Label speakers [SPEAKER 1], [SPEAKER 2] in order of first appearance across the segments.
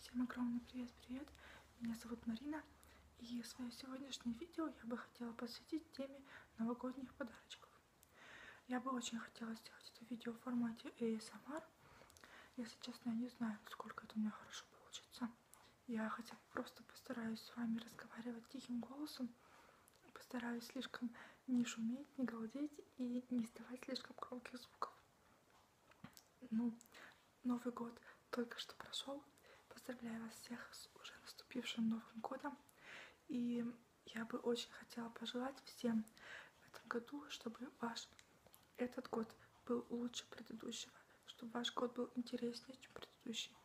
[SPEAKER 1] Всем огромный привет-привет! Меня зовут Марина, и свое сегодняшнее видео я бы хотела посвятить теме новогодних подарочков. Я бы очень хотела сделать это видео в формате ASMR. Если честно, я не знаю, сколько это у меня хорошо получится. Я хотя бы просто постараюсь с вами разговаривать тихим голосом, постараюсь слишком не шуметь, не галдеть и не издавать слишком громких звуков. Ну, Новый год только что прошел. Поздравляю вас всех с уже наступившим Новым годом. И я бы очень хотела пожелать всем в этом году, чтобы ваш этот год был лучше предыдущего, чтобы ваш год был интереснее, чем предыдущий,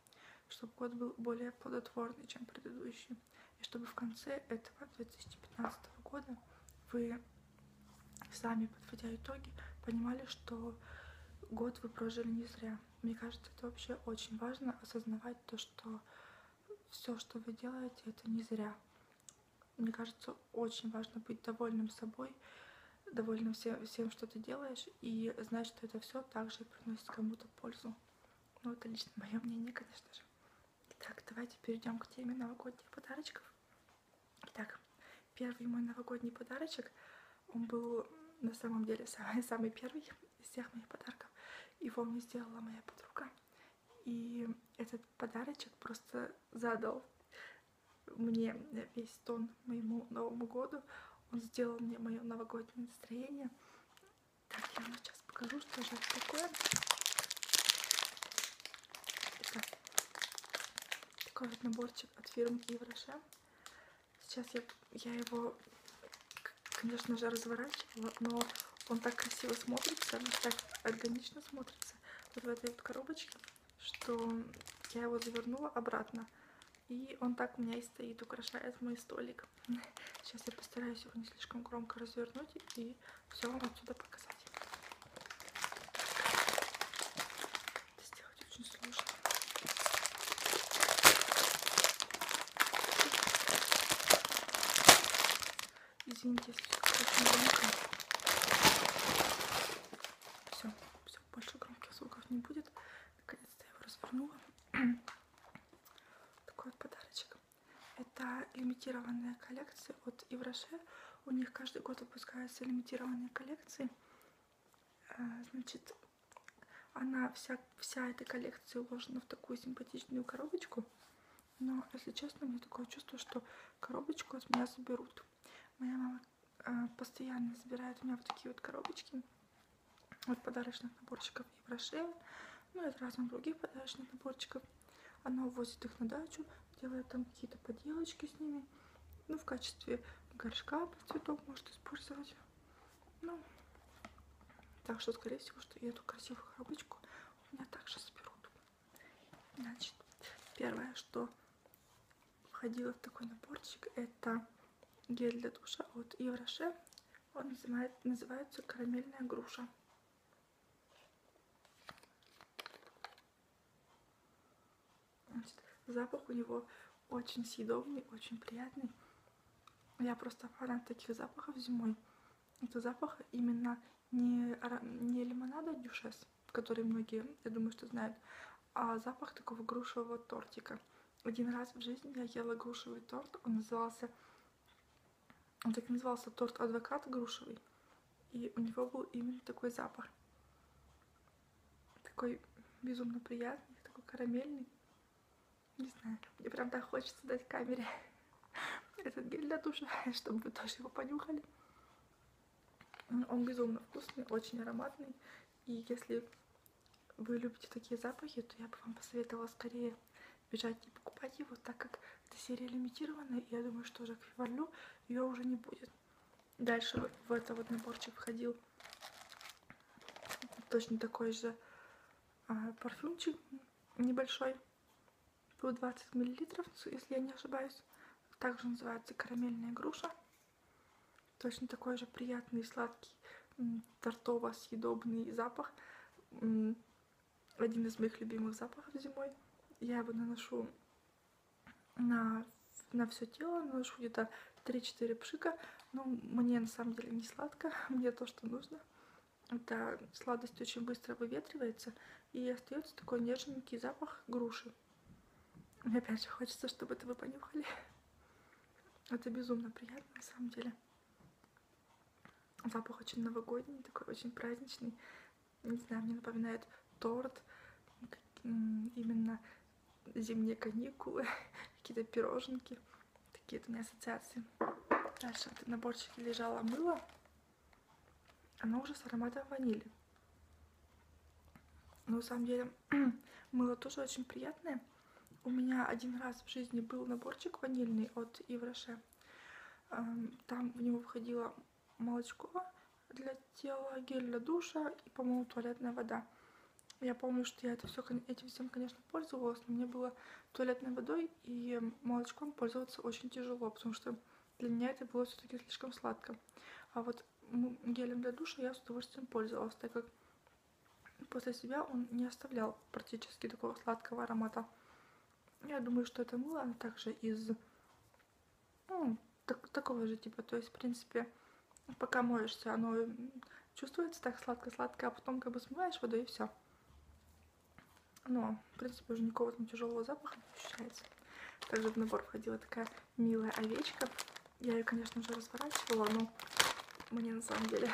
[SPEAKER 1] чтобы год был более плодотворный, чем предыдущий, и чтобы в конце этого 2015 года вы сами, подводя итоги, понимали, что год вы прожили не зря. Мне кажется, это вообще очень важно осознавать то, что все, что вы делаете, это не зря. Мне кажется, очень важно быть довольным собой, довольным всем, всем что ты делаешь, и знать, что это все также приносит кому-то пользу. Ну, это лично мое мнение, конечно же. Итак, давайте перейдем к теме новогодних подарочков. Итак, первый мой новогодний подарочек, он был на самом деле самый-самый первый из всех моих подарков. Его мне сделала моя подруга. И этот подарочек просто задал мне весь тон моему Новому году. Он сделал мне мое новогоднее настроение. Так, я вам сейчас покажу, что же это такое. Такой вот наборчик от фирмы Ивраше. Сейчас я, я его, конечно же, разворачивала, но он так красиво смотрится, он так органично смотрится вот в этой вот коробочке, что я его завернула обратно. И он так у меня и стоит, украшает мой столик. Сейчас я постараюсь его не слишком громко развернуть и и все вам отсюда показать. Это сделать очень сложно. Извините, если очень громко. Все, все, больше громких звуков не будет. Наконец-то я его развернула. Такой вот подарочек. Это лимитированная коллекция от Ивраше у них каждый год выпускаются лимитированные коллекции. Э, значит, она вся, вся эта коллекция уложена в такую симпатичную коробочку. Но, если честно, у меня такое чувство, что коробочку от меня заберут. Моя мама э, постоянно забирает у меня вот такие вот коробочки от подарочных наборчиков и брошей, ну и от разных других подарочных наборчиков. Она увозит их на дачу, делает там какие-то поделочки с ними. Ну, в качестве горшка под цветок может использовать. Ну, так что, скорее всего, что я эту красивую коробочку у меня также соберут. Значит, первое, что входило в такой наборчик, это гель для душа от Евроше. Он называет, называется «Карамельная груша». Значит, запах у него очень съедобный, очень приятный. Я просто фанат таких запахов зимой. Это запах именно не, не лимонада дюшес, который многие, я думаю, что знают, а запах такого грушевого тортика. Один раз в жизни я ела грушевый торт, он назывался, он так назывался торт-адвокат грушевый и у него был именно такой запах. Такой безумно приятный, такой карамельный. Не знаю, мне прям так хочется дать камере этот гель для душа, чтобы вы тоже его понюхали. Он безумно вкусный, очень ароматный. И если вы любите такие запахи, то я бы вам посоветовала скорее бежать и покупать его, так как эта серия лимитированная, и я думаю, что Жак Фиварлю ее уже не будет. Дальше в этот вот наборчик входил точно такой же а, парфюмчик небольшой. По 20 мл, если я не ошибаюсь. Также называется карамельная груша. Точно такой же приятный, сладкий, тортово-съедобный запах один из моих любимых запахов зимой. Я его наношу на, на все тело, наношу где-то 3-4 пшика. Но ну, мне на самом деле не сладко, мне то, что нужно. Эта сладость очень быстро выветривается, и остается такой нежненький запах груши. Мне опять же хочется, чтобы это вы понюхали. Это безумно приятно, на самом деле. Запах очень новогодний, такой очень праздничный не знаю, мне напоминает торт, именно зимние каникулы, какие-то пироженки, такие у меня ассоциации. Дальше в этом наборчике лежало мыло, оно уже с ароматом ванили. Но на самом деле мыло тоже очень приятное. У меня один раз в жизни был наборчик ванильный от Ивраше. Там в него входило молочко для тела, гель для душа и, по-моему, туалетная вода. Я помню, что я это все, этим всем, конечно, пользовалась, но мне было туалетной водой и молочком пользоваться очень тяжело, потому что для меня это было все-таки слишком сладко. А вот гелем для душа я с удовольствием пользовалась, так как после себя он не оставлял практически такого сладкого аромата. Я думаю, что это мыло также из ну, так, такого же типа. То есть, в принципе, пока моешься, оно чувствуется так сладко-сладко, а потом как бы смываешь водой и все. Но, в принципе, уже никакого там тяжелого запаха не ощущается. Также в набор входила такая милая овечка. Я ее, конечно, уже разворачивала, но мне на самом деле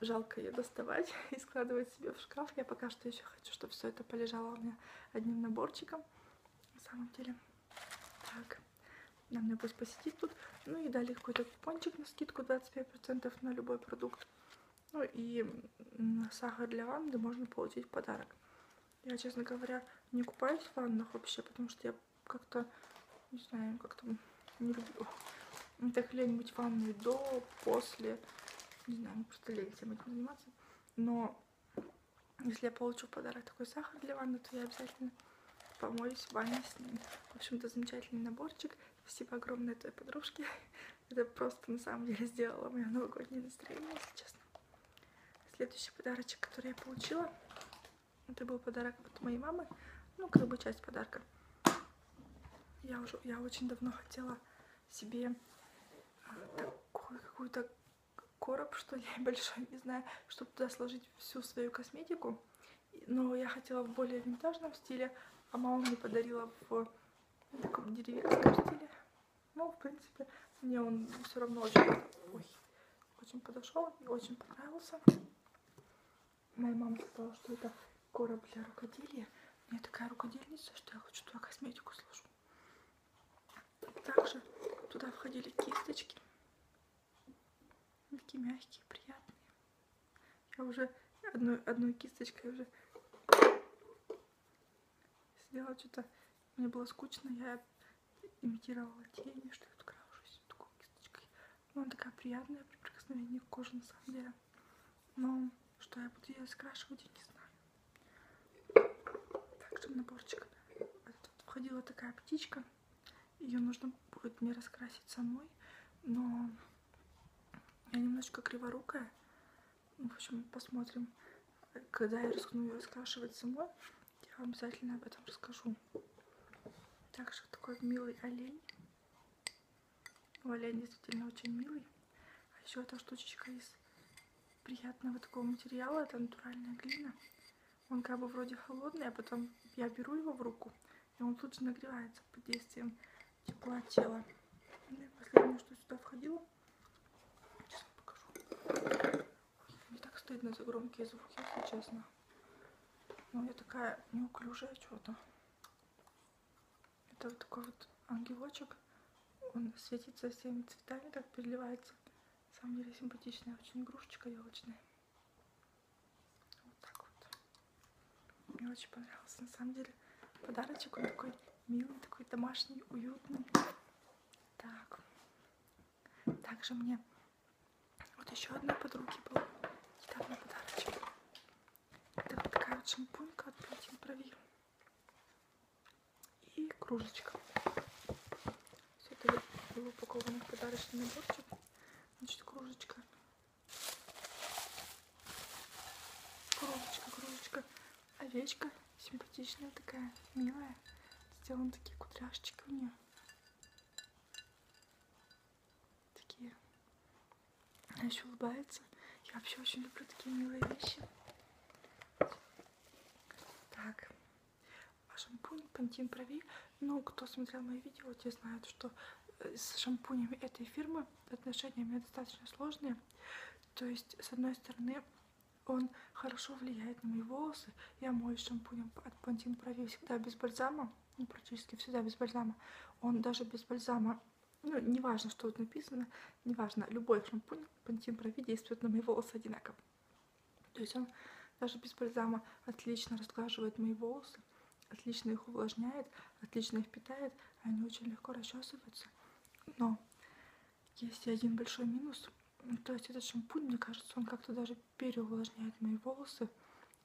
[SPEAKER 1] жалко ее доставать и складывать себе в шкаф. Я пока что еще хочу, чтобы все это полежало у меня одним наборчиком. На самом деле. Так. На меня пусть посетит тут. Ну и дали какой-то купончик на скидку 25% на любой продукт. Ну и сахар для ванны можно получить в подарок. Я, честно говоря, не купаюсь в ваннах вообще, потому что я как-то, не знаю, как-то не люблю. Это хрень мыть ванную до, после. Не знаю, ну просто лень всем этим заниматься. Но если я получу в подарок такой сахар для ванны, то я обязательно помоюсь в ванне с ним. В общем-то, замечательный наборчик. Спасибо огромное той подружке. Это просто на самом деле сделало мое новогоднее настроение, если честно. Следующий подарочек, который я получила, это был подарок от моей мамы. Ну, как бы часть подарка. Я уже, я очень давно хотела себе а, такой какой-то короб, что ли, большой, не знаю, чтобы туда сложить всю свою косметику. Но я хотела в более винтажном стиле, а мама мне подарила в таком деревенском стиле. Ну, в принципе, мне он все равно очень, ой, очень подошел и очень понравился. Моя мама сказала, что это короб для рукоделия. У меня такая рукодельница, что я хочу туда косметику сложу. Также туда входили кисточки. Такие мягкие, приятные. Я уже одной, одной кисточкой уже сделала что-то. Мне было скучно, я имитировала тени, что я тут крашусь такой кисточкой. Но она такая приятная при прикосновении к коже на самом деле красивая. Ну, но что я буду ее скрашивать, я не знаю. Так, чтобы наборчик. Тут входила такая птичка. Ее нужно будет мне раскрасить самой. Но я немножечко криворукая. Ну, в общем, посмотрим. Когда я рискну ее раскрашивать самой, я вам обязательно об этом расскажу. Также такой милый олень. Валет действительно очень милый. А еще эта штучечка из приятного такого материала. Это натуральная глина. Он как бы вроде холодный, а потом я беру его в руку, и он тут же нагревается под действием тепла тела. Ну и последнее, что сюда входило. Сейчас покажу. Мне так стыдно за громкие звуки, если честно. Ну, я такая неуклюжая что-то. Это вот такой вот ангелочек. Он светится всеми цветами, так переливается. На самом деле симпатичная очень игрушечка елочная. Вот так вот. Мне очень понравился. На самом деле подарочек он такой милый, такой домашний, уютный. Так. Также мне вот еще одной подруги был недавно подарочек. Это вот такая вот шампунька от Beauty Improvir. И кружечка. Все это было упаковано в подарочный наборчик. Значит, кружечка. Кружечка, кружечка. Овечка симпатичная такая, милая. Сделаны такие кудряшечки у нее. Такие. Она еще улыбается. Я вообще очень люблю такие милые вещи. Так. А шампунь Пантин Прови. Ну, кто смотрел мои видео, те знают, что э, с шампунями этой фирмы отношения у меня достаточно сложные. То есть, с одной стороны, он хорошо влияет на мои волосы. Я мою шампунем от Пантин Прови всегда без бальзама. Ну, практически всегда без бальзама. Он даже без бальзама ну, не важно, что тут написано, не важно, любой шампунь Пантин Прови действует на мои волосы одинаково. То есть он даже без бальзама отлично разглаживает мои волосы, отлично их увлажняет, отлично их питает, они очень легко расчесываются. Но есть и один большой минус. То есть этот шампунь, мне кажется, он как-то даже переувлажняет мои волосы,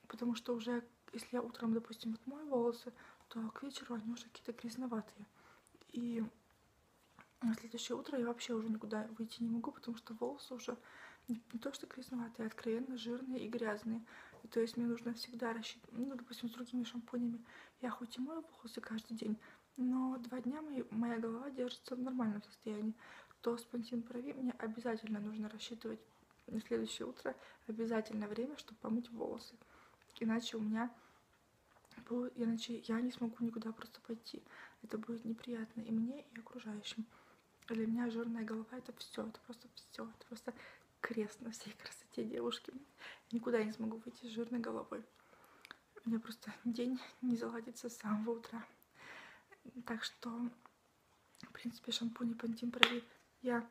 [SPEAKER 1] потому что уже если я утром, допустим, отмою волосы, то к вечеру они уже какие-то грязноватые. И на следующее утро я вообще уже никуда выйти не могу, потому что волосы уже не, не то что грязноватые, а откровенно жирные и грязные. И то есть мне нужно всегда рассчитывать, ну, допустим, с другими шампунями я хоть и мою волосы каждый день, но два дня мои, моя голова держится в нормальном состоянии, то с пантин прови мне обязательно нужно рассчитывать на следующее утро обязательно время, чтобы помыть волосы. Иначе у меня будет, иначе я не смогу никуда просто пойти. Это будет неприятно и мне, и окружающим. Для меня жирная голова это все, это просто все, это просто крест на всей красоте девушки. Я никуда не смогу выйти с жирной головой. У меня просто день не заладится с самого утра. Так что, в принципе, шампунь и пантин провели я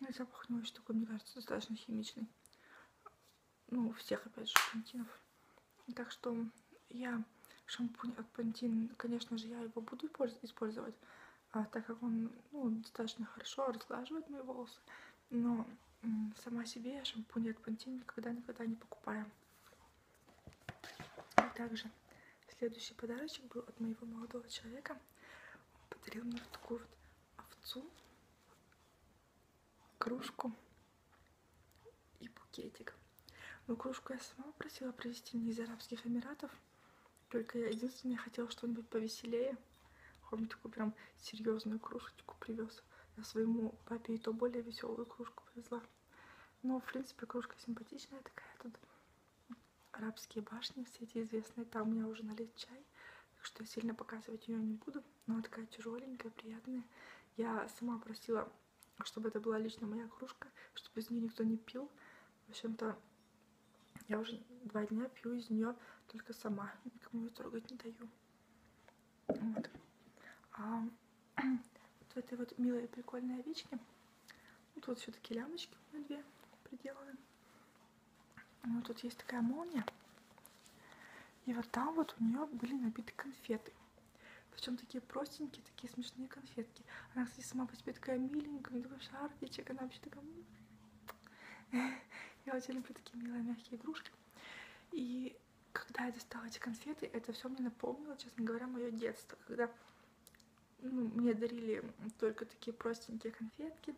[SPEAKER 1] ну, запах не очень такой, мне кажется, достаточно химичный. Ну, всех, опять же, пантинов. Так что я шампунь от Пантин, конечно же, я его буду использовать, а, так как он ну, достаточно хорошо разглаживает мои волосы. Но сама себе шампунь от Пантин никогда-никогда не покупаю. И также следующий подарочек был от моего молодого человека. Он подарил мне вот такую вот овцу, кружку и букетик. Но ну, кружку я сама просила привезти мне из Арабских Эмиратов. Только я единственное хотела что-нибудь повеселее. Он мне такую прям серьезную кружечку привез. Я своему папе и то более веселую кружку повезла. Но, ну, в принципе, кружка симпатичная такая тут арабские башни, все эти известные. Там у меня уже налит чай, так что я сильно показывать ее не буду. Но она такая тяжеленькая, приятная. Я сама просила, чтобы это была лично моя кружка, чтобы из нее никто не пил. В общем-то, я уже два дня пью из нее только сама. Никому ее трогать не даю. Вот. А вот в этой вот милой и прикольной овечке вот, вот все-таки лямочки у меня две приделаны. Вот тут есть такая молния. И вот там вот у нее были набиты конфеты. Причем такие простенькие, такие смешные конфетки. Она, кстати, сама по себе такая миленькая, такой шарфичек, она вообще такая... Я очень люблю такие милые мягкие игрушки. И когда я достала эти конфеты, это все мне напомнило, честно говоря, мое детство, когда ну, мне дарили только такие простенькие конфетки.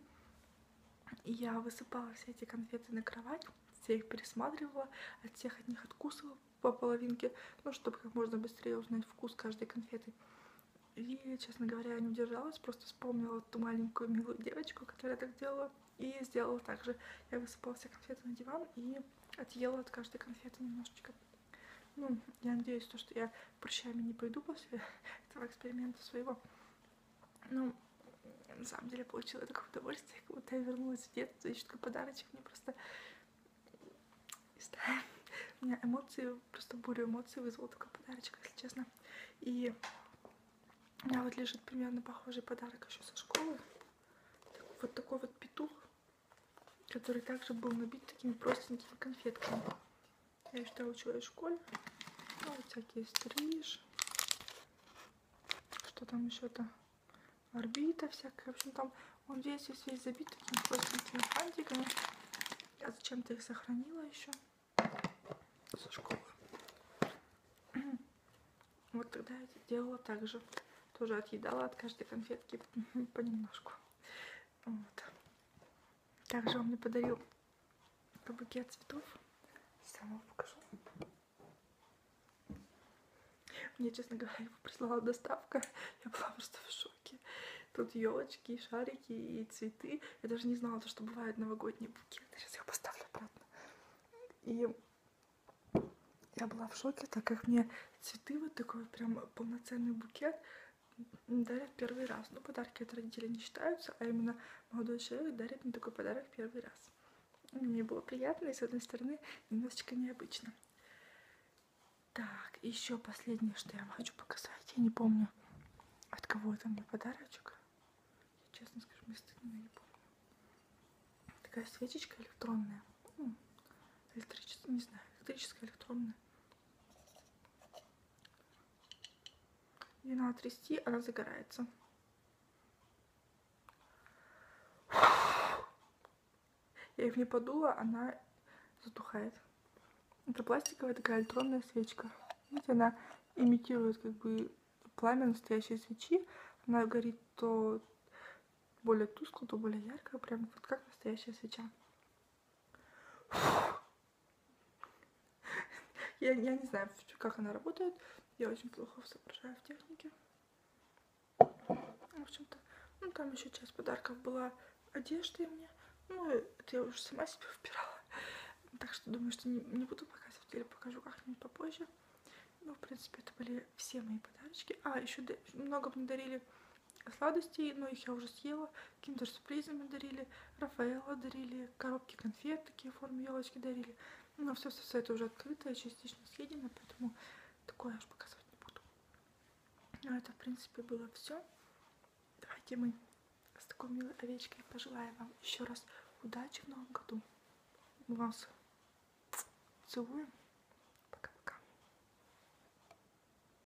[SPEAKER 1] И я высыпала все эти конфеты на кровать, все их пересматривала, от всех от них откусывала по половинке, ну, чтобы как можно быстрее узнать вкус каждой конфеты. И, честно говоря, я не удержалась, просто вспомнила ту маленькую милую девочку, которая так делала, и сделала так же. Я высыпала все конфеты на диван и отъела от каждой конфеты немножечко. Ну, я надеюсь, то, что я прыщами не пойду после этого эксперимента своего. Ну, на самом деле получила такое удовольствие, как будто я вернулась в детство, еще такой подарочек мне просто... Не знаю, у меня эмоции, просто бурю эмоций вызвал такой подарочек, если честно. И у меня вот лежит примерно похожий подарок еще со школы. Вот такой вот петух, который также был набит такими простенькими конфетками. Я ще училась в школе. Ну, вот всякие стриж. Что там еще-то? Орбита всякая. В общем, там он здесь весь, весь забит такими простенькими фантиками. Я зачем-то их сохранила еще. Со школы. Вот тогда я делала так же. Тоже отъедала от каждой конфетки понемножку. Вот. Также он мне подарил букет цветов. Сама покажу. Мне, честно говоря, его прислала доставка. Я была просто в шоке. Тут елочки, шарики и цветы. Я даже не знала, что бывают новогодние букеты. Сейчас я поставлю обратно. И я была в шоке, так как мне цветы вот такой прям полноценный букет дарят первый раз. Ну, подарки от родителей не считаются, а именно молодой человек дарит мне такой подарок первый раз. Мне было приятно и, с одной стороны, немножечко необычно. Так, еще последнее, что я вам хочу показать. Я не помню, от кого это мне подарочек. Я, честно скажу, мне стыдно, я не помню. Такая свечечка электронная. Электрическая, не знаю, электрическая, электронная. Ее надо трясти, она загорается. Я их не подула, она затухает. Это пластиковая такая электронная свечка. Видите, она имитирует как бы пламя настоящей свечи. Она горит то более тускло, то более ярко, прям вот как настоящая свеча. Я, я не знаю, как она работает. Я очень плохо соображаю в технике. В общем-то, ну там еще часть подарков была одежды мне. Ну, это я уже сама себе выбирала. Так что думаю, что не, не буду показывать или покажу как-нибудь попозже. Ну, в принципе, это были все мои подарочки. А, еще много мне дарили сладостей, но ну, их я уже съела. Киндер-сюрпризы мне дарили, Рафаэла дарили, коробки конфет такие в форме елочки дарили. Но ну, а все-все-все это уже открытое, частично съедено, поэтому такое я уж показывать не буду. Но а это, в принципе, было все. Давайте мы с такой милой овечкой пожелаем вам еще раз удачи в новом году. Мы вас целуем.